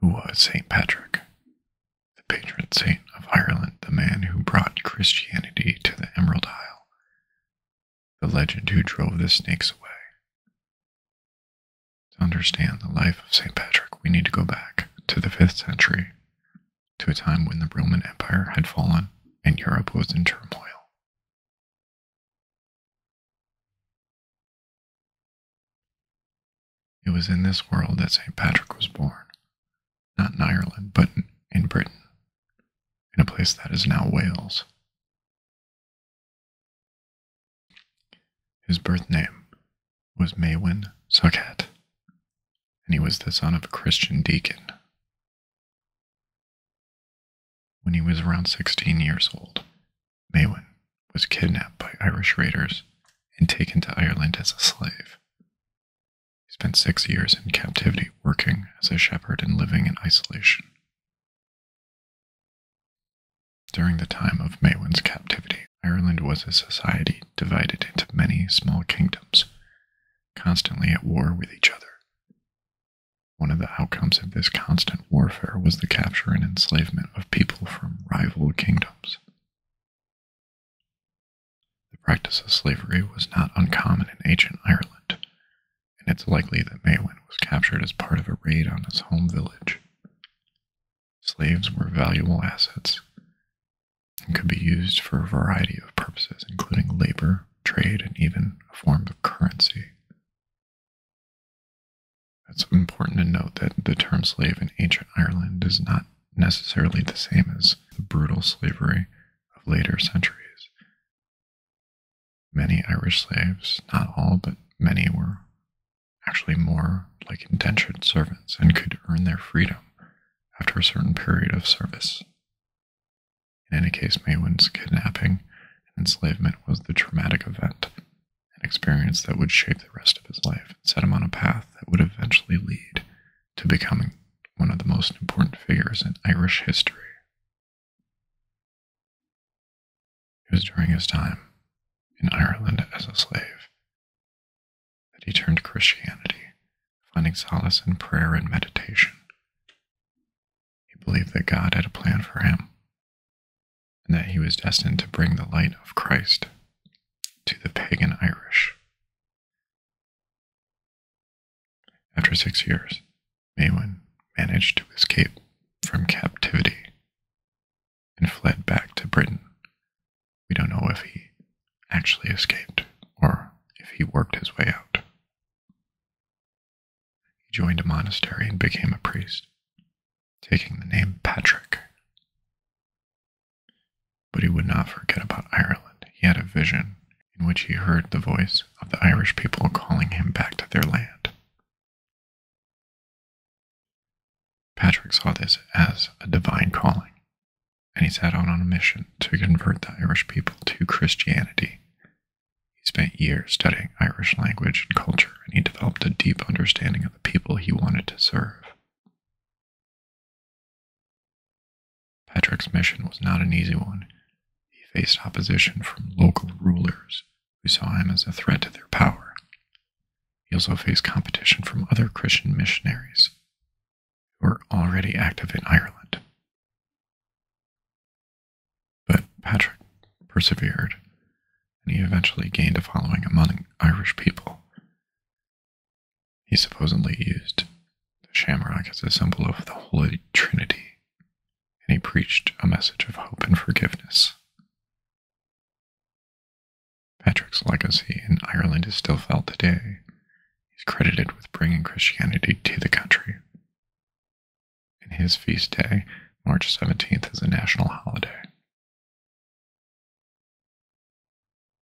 who was St. Patrick, the patron saint of Ireland, the man who brought Christianity to the Emerald Isle, the legend who drove the snakes away. To understand the life of St. Patrick, we need to go back to the 5th century, to a time when the Roman Empire had fallen and Europe was in turmoil. It was in this world that St. Patrick was born, not in Ireland, but in Britain, in a place that is now Wales. His birth name was Maywin Suckett, and he was the son of a Christian deacon. When he was around 16 years old, Maywin was kidnapped by Irish raiders and taken to Ireland as a slave. He spent six years in captivity working as a shepherd and living in isolation. During the time of Maywin's captivity, Ireland was a society divided into many small kingdoms, constantly at war with each other. One of the outcomes of this constant warfare was the capture and enslavement of people from rival kingdoms. The practice of slavery was not uncommon in ancient Ireland, and it's likely that Maywin was captured as part of a raid on his home village. Slaves were valuable assets and could be used for a variety of purposes, including labor, trade, and even a form of currency. It's important to note that the term slave in ancient Ireland is not necessarily the same as the brutal slavery of later centuries. Many Irish slaves, not all, but many, were actually more like indentured servants and could earn their freedom after a certain period of service. In any case, Maywin's kidnapping and enslavement was the traumatic event an experience that would shape the rest of his life and set him on a path that would eventually lead to becoming one of the most important figures in Irish history. It was during his time in Ireland as a slave that he turned to Christianity, finding solace in prayer and meditation. He believed that God had a plan for him and that he was destined to bring the light of Christ to the pagan Irish. After six years, Maywin managed to escape from captivity and fled back to Britain. We don't know if he actually escaped or if he worked his way out. He joined a monastery and became a priest taking the name Patrick. But he would not forget about Ireland. He had a vision in which he heard the voice of the Irish people calling him back to their land. Patrick saw this as a divine calling, and he set out on a mission to convert the Irish people to Christianity. He spent years studying Irish language and culture, and he developed a deep understanding of the people he wanted to serve. Patrick's mission was not an easy one. He faced opposition from local rulers who saw him as a threat to their power. He also faced competition from other Christian missionaries who were already active in Ireland. But Patrick persevered and he eventually gained a following among Irish people. He supposedly used the shamrock as a symbol of the Holy Trinity, and he preached a message of hope and forgiveness. Patrick's legacy in Ireland is still felt today. He's credited with bringing Christianity to the country. And his feast day, March 17th, is a national holiday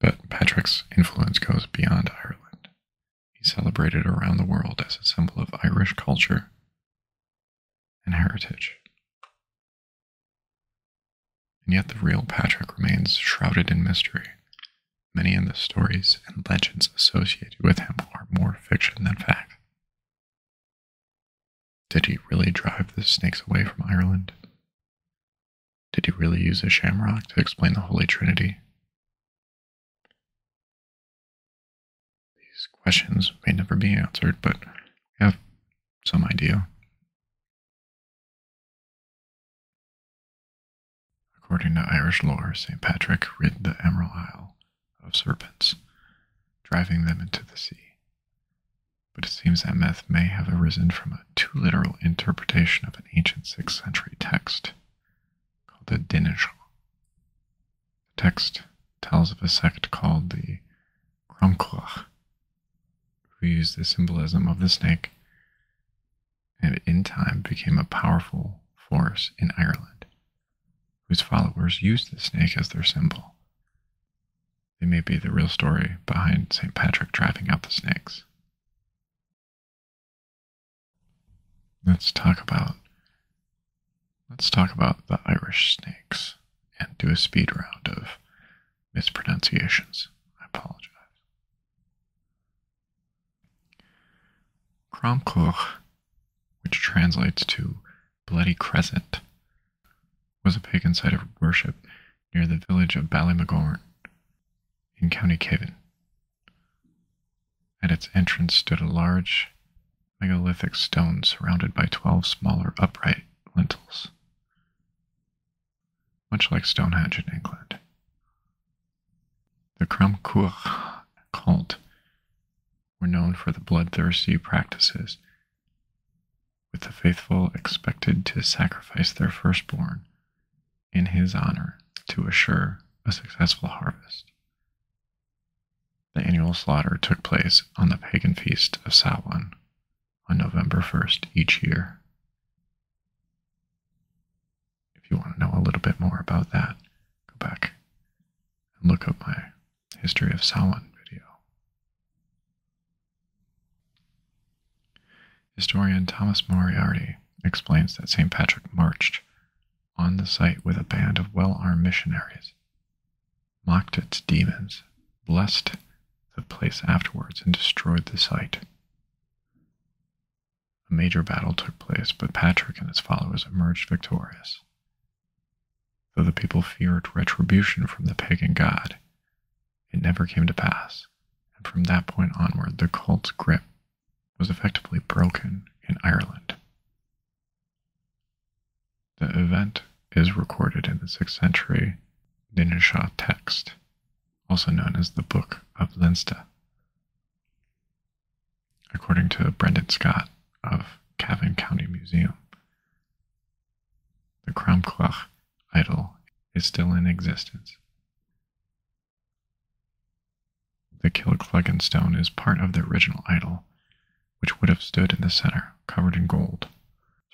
but Patrick's influence goes beyond Ireland. He's celebrated around the world as a symbol of Irish culture and heritage. And yet the real Patrick remains shrouded in mystery. Many of the stories and legends associated with him are more fiction than fact. Did he really drive the snakes away from Ireland? Did he really use a shamrock to explain the Holy Trinity? These questions may never be answered, but we have some idea. According to Irish lore, St. Patrick rid the Emerald Isle of serpents, driving them into the sea but it seems that myth may have arisen from a too literal interpretation of an ancient 6th century text called the Dinishan. The text tells of a sect called the Kramkoach, who used the symbolism of the snake and in time became a powerful force in Ireland, whose followers used the snake as their symbol. It may be the real story behind St. Patrick driving out the snakes. Let's talk about let's talk about the Irish snakes and do a speed round of mispronunciations. I apologize. Cromcoch, which translates to bloody crescent, was a pagan site of worship near the village of Ballymagorn in County Cavan. At its entrance stood a large megalithic stone surrounded by twelve smaller upright lintels, much like Stonehenge in England. The Crom Cramcourt cult were known for the bloodthirsty practices with the faithful expected to sacrifice their firstborn in his honor to assure a successful harvest. The annual slaughter took place on the pagan feast of Samhain on November 1st each year. If you want to know a little bit more about that, go back and look up my History of Samhain video. Historian Thomas Moriarty explains that St. Patrick marched on the site with a band of well armed missionaries, mocked its demons, blessed the place afterwards, and destroyed the site. A major battle took place, but Patrick and his followers emerged victorious. Though the people feared retribution from the pagan god, it never came to pass, and from that point onward, the cult's grip was effectively broken in Ireland. The event is recorded in the 6th century Linishaw text, also known as the Book of Leinster. According to Brendan Scott of Cavan County Museum, the Kramklach idol is still in existence. The Kilkluggen stone is part of the original idol, which would have stood in the center, covered in gold.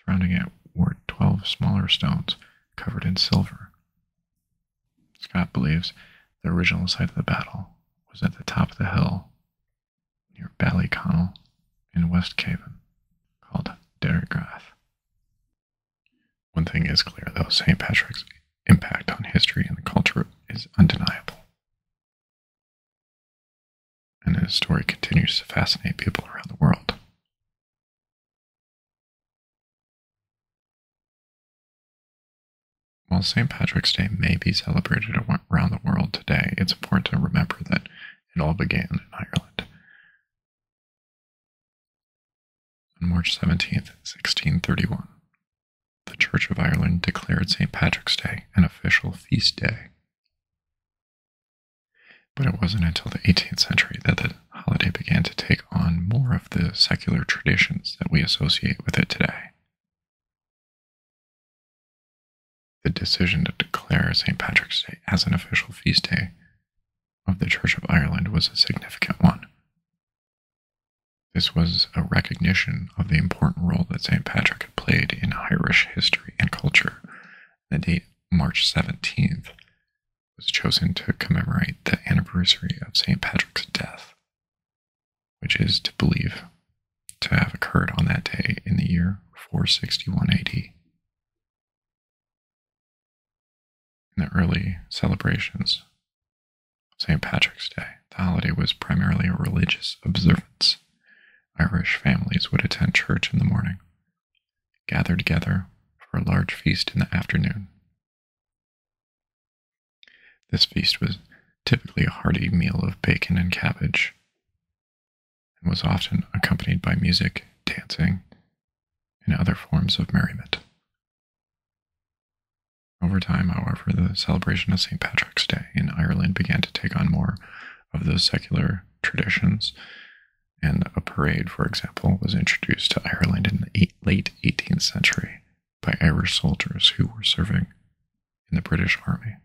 Surrounding it were twelve smaller stones covered in silver. Scott believes the original site of the battle was at the top of the hill near Ballyconnell in West Cavan called Dergrath. One thing is clear, though St. Patrick's impact on history and the culture is undeniable. And his story continues to fascinate people around the world. While St. Patrick's Day may be celebrated around the world today, it's important to remember that it all began in Ireland. On March 17, 1631, the Church of Ireland declared St. Patrick's Day an official feast day. But it wasn't until the 18th century that the holiday began to take on more of the secular traditions that we associate with it today. The decision to declare St. Patrick's Day as an official feast day of the Church of Ireland was a significant one. This was a recognition of the important role that St. Patrick had played in Irish history and culture. The date, March 17th, was chosen to commemorate the anniversary of St. Patrick's death, which is to believe to have occurred on that day in the year 461 AD. In the early celebrations of St. Patrick's Day, the holiday was primarily a religious observance. Irish families would attend church in the morning, gather together for a large feast in the afternoon. This feast was typically a hearty meal of bacon and cabbage, and was often accompanied by music, dancing, and other forms of merriment. Over time, however, the celebration of St. Patrick's Day in Ireland began to take on more of those secular traditions, and a parade, for example, was introduced to Ireland in the late 18th century by Irish soldiers who were serving in the British Army.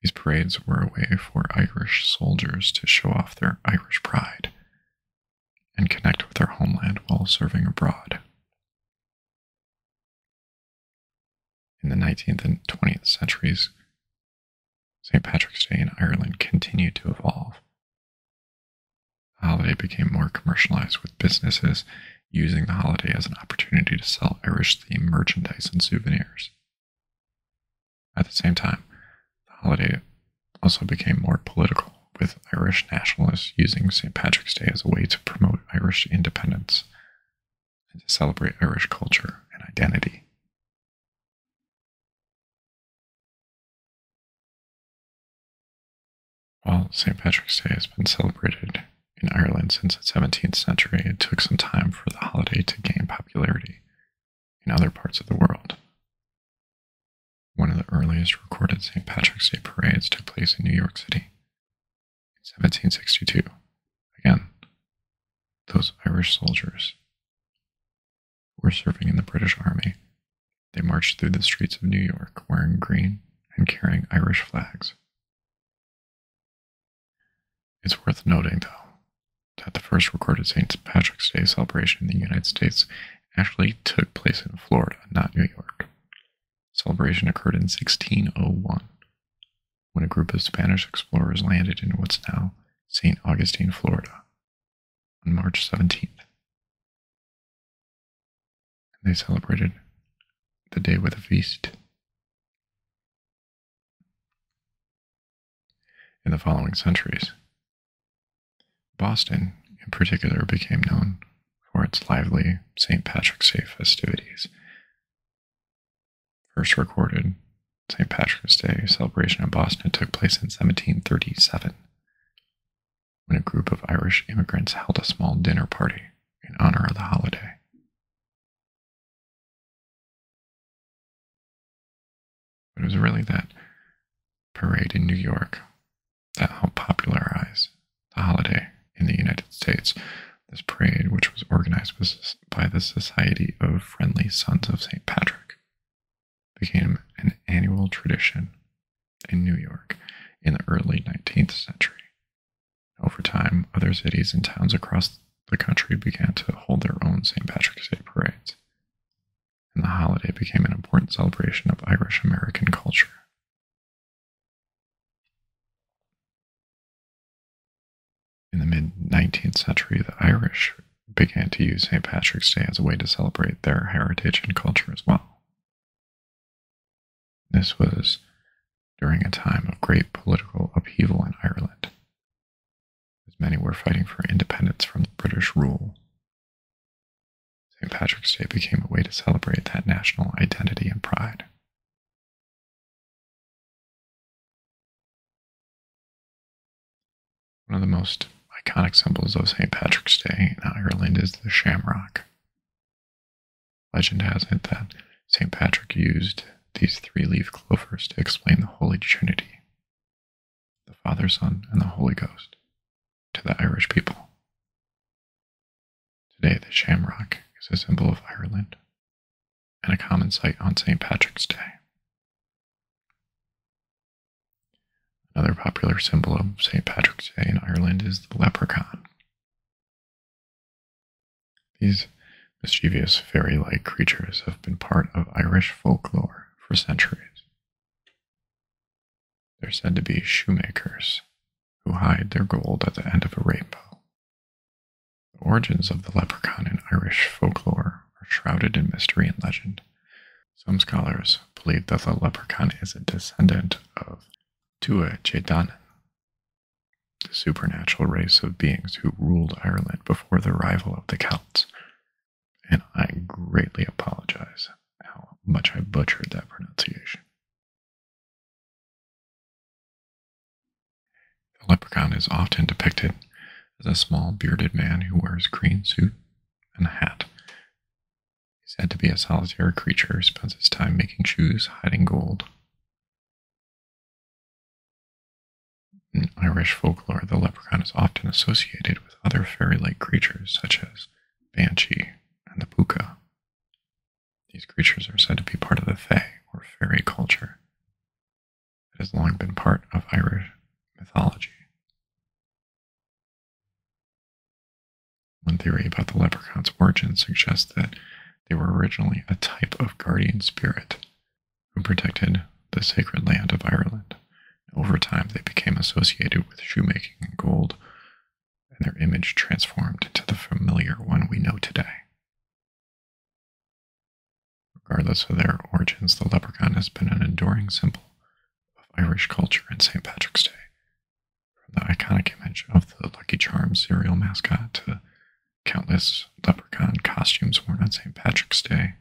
These parades were a way for Irish soldiers to show off their Irish pride and connect with their homeland while serving abroad. In the 19th and 20th centuries, St. Patrick's Day in Ireland continued to evolve. The holiday became more commercialized, with businesses using the holiday as an opportunity to sell Irish themed merchandise and souvenirs. At the same time, the holiday also became more political, with Irish nationalists using St. Patrick's Day as a way to promote Irish independence and to celebrate Irish culture and identity. While St. Patrick's Day has been celebrated in Ireland since the 17th century, it took some time for the holiday to gain popularity in other parts of the world. One of the earliest recorded St. Patrick's Day parades took place in New York City in 1762. Again, those Irish soldiers were serving in the British Army. They marched through the streets of New York wearing green and carrying Irish flags. It's worth noting, though, that the first recorded St. Patrick's Day celebration in the United States actually took place in Florida, not New York. Celebration occurred in 1601 when a group of Spanish explorers landed in what's now St. Augustine, Florida, on March 17th. And they celebrated the day with a feast. In the following centuries, Boston, in particular, became known for its lively St. Patrick's Day festivities. First recorded St. Patrick's Day celebration in Boston took place in 1737 when a group of Irish immigrants held a small dinner party in honor of the holiday. It was really that parade in New York that helped popularize the holiday in the United States. This parade, which was organized by the Society of Friendly Sons of St. Patrick, became an annual tradition in New York in the early 19th century. Over time, other cities and towns across the country began to hold their own St. Patrick's Day parades, and the holiday became an important celebration of Irish American culture. In the mid 19th century, the Irish began to use St. Patrick's Day as a way to celebrate their heritage and culture as well. This was during a time of great political upheaval in Ireland, as many were fighting for independence from British rule. St. Patrick's Day became a way to celebrate that national identity and pride. One of the most iconic symbols of St. Patrick's Day in Ireland is the shamrock. Legend has it that St. Patrick used these three leaf clovers to explain the Holy Trinity, the Father, Son, and the Holy Ghost, to the Irish people. Today, the shamrock is a symbol of Ireland and a common sight on St. Patrick's Day. Another popular symbol of St. Patrick's Day in Ireland is the leprechaun. These mischievous fairy like creatures have been part of Irish folklore for centuries. They're said to be shoemakers who hide their gold at the end of a rainbow. The origins of the leprechaun in Irish folklore are shrouded in mystery and legend. Some scholars believe that the leprechaun is a descendant of Tua Chedanan, the supernatural race of beings who ruled Ireland before the arrival of the Celts. And I greatly apologize how much I butchered that pronunciation. The leprechaun is often depicted as a small bearded man who wears a green suit and a hat. He's said to be a solitary creature who spends his time making shoes, hiding gold, in Irish folklore, the leprechaun is often associated with other fairy like creatures such as banshee and the pooka. These creatures are said to be part of the Fae, or fairy culture. It has long been part of Irish mythology. One theory about the leprechaun's origin suggests that they were originally a type of guardian spirit who protected the sacred land of Ireland. Over time, they became associated with shoemaking and gold, and their image transformed into the familiar one we know today. Regardless of their origins, the leprechaun has been an enduring symbol of Irish culture and St. Patrick's Day. From the iconic image of the Lucky Charms cereal mascot to countless leprechaun costumes worn on St. Patrick's Day,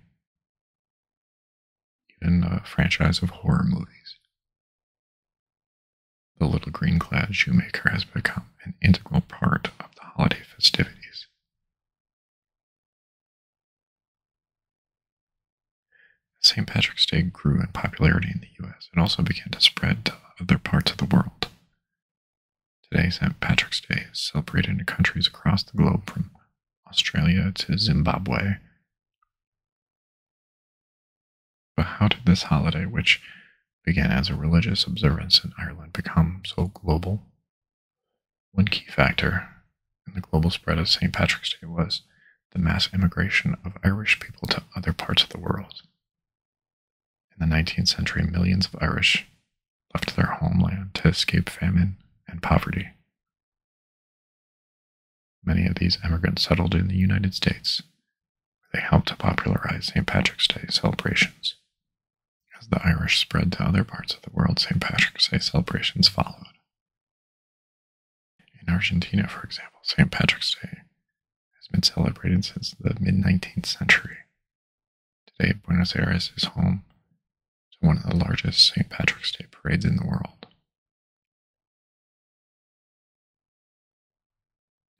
even a franchise of horror movies. The little green clad shoemaker has become an integral part of the holiday festivities. St. Patrick's Day grew in popularity in the U.S., and also began to spread to other parts of the world, Today, St. Patrick's Day is celebrated in countries across the globe from Australia to Zimbabwe. But how did this holiday, which began as a religious observance in Ireland, become so global? One key factor in the global spread of St. Patrick's Day was the mass immigration of Irish people to other parts of the world. In the 19th century, millions of Irish left their homeland to escape famine and poverty. Many of these immigrants settled in the United States, where they helped to popularize St. Patrick's Day celebrations. As the Irish spread to other parts of the world, St. Patrick's Day celebrations followed. In Argentina, for example, St. Patrick's Day has been celebrated since the mid 19th century Today, Buenos Aires is home to one of the largest St. Patrick's Day parades in the world.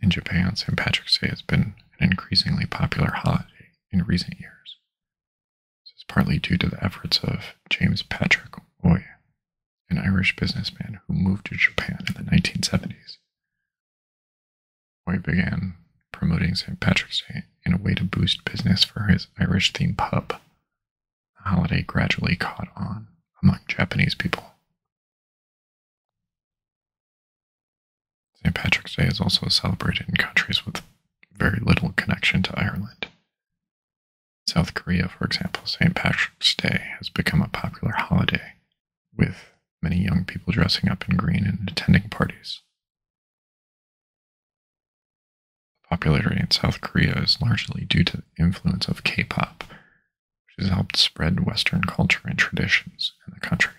In Japan, St. Patrick's Day has been an increasingly popular holiday in recent years. This is partly due to the efforts of James Patrick Oy, an Irish businessman who moved to Japan in the 1970s. Roy began promoting St. Patrick's Day in a way to boost business for his Irish themed pub. The holiday gradually caught on among Japanese people. St. Patrick's Day is also celebrated in countries with very little connection to Ireland. South Korea, for example, St. Patrick's Day has become a popular holiday, with many young people dressing up in green and attending parties popularity in South Korea is largely due to the influence of K pop, which has helped spread Western culture and traditions in the country.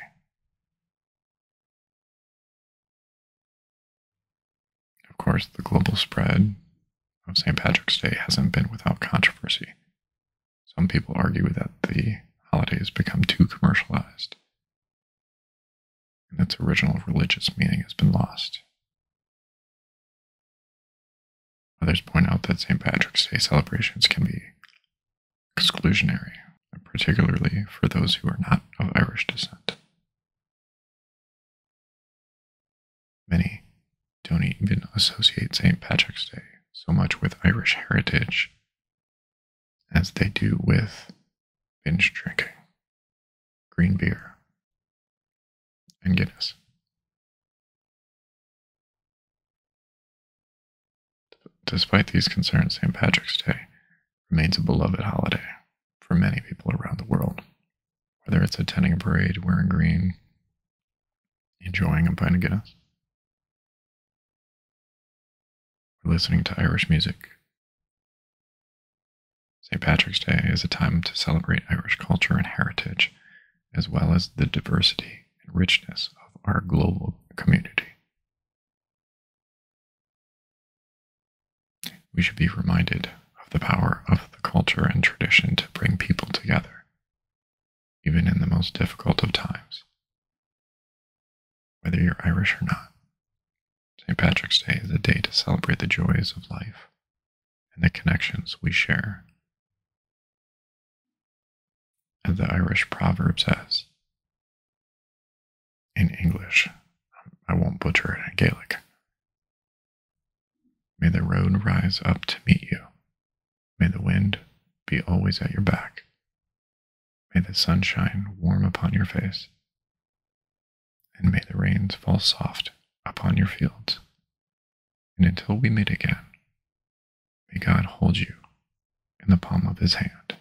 Of course, the global spread of St. Patrick's Day hasn't been without controversy. Some people argue that the holiday has become too commercialized and its original religious meaning has been lost. Others point out that St. Patrick's Day celebrations can be exclusionary, particularly for those who are not of Irish descent. Many don't even associate St. Patrick's Day so much with Irish heritage as they do with binge drinking, green beer, and Guinness. Despite these concerns, St. Patrick's Day remains a beloved holiday for many people around the world. Whether it's attending a parade, wearing green, enjoying a pint of Guinness, we're listening to Irish music. St. Patrick's Day is a time to celebrate Irish culture and heritage, as well as the diversity and richness of our global community. We should be reminded of the power of the culture and tradition to bring people together, even in the most difficult of times, whether you're Irish or not. St. Patrick's Day is a day to celebrate the joys of life and the connections we share. As the Irish proverb says, in English, I won't butcher it in Gaelic. May the road rise up to meet you. May the wind be always at your back, May the sunshine warm upon your face, and may the rains fall soft upon your fields. And until we meet again, may God hold you in the palm of his hand.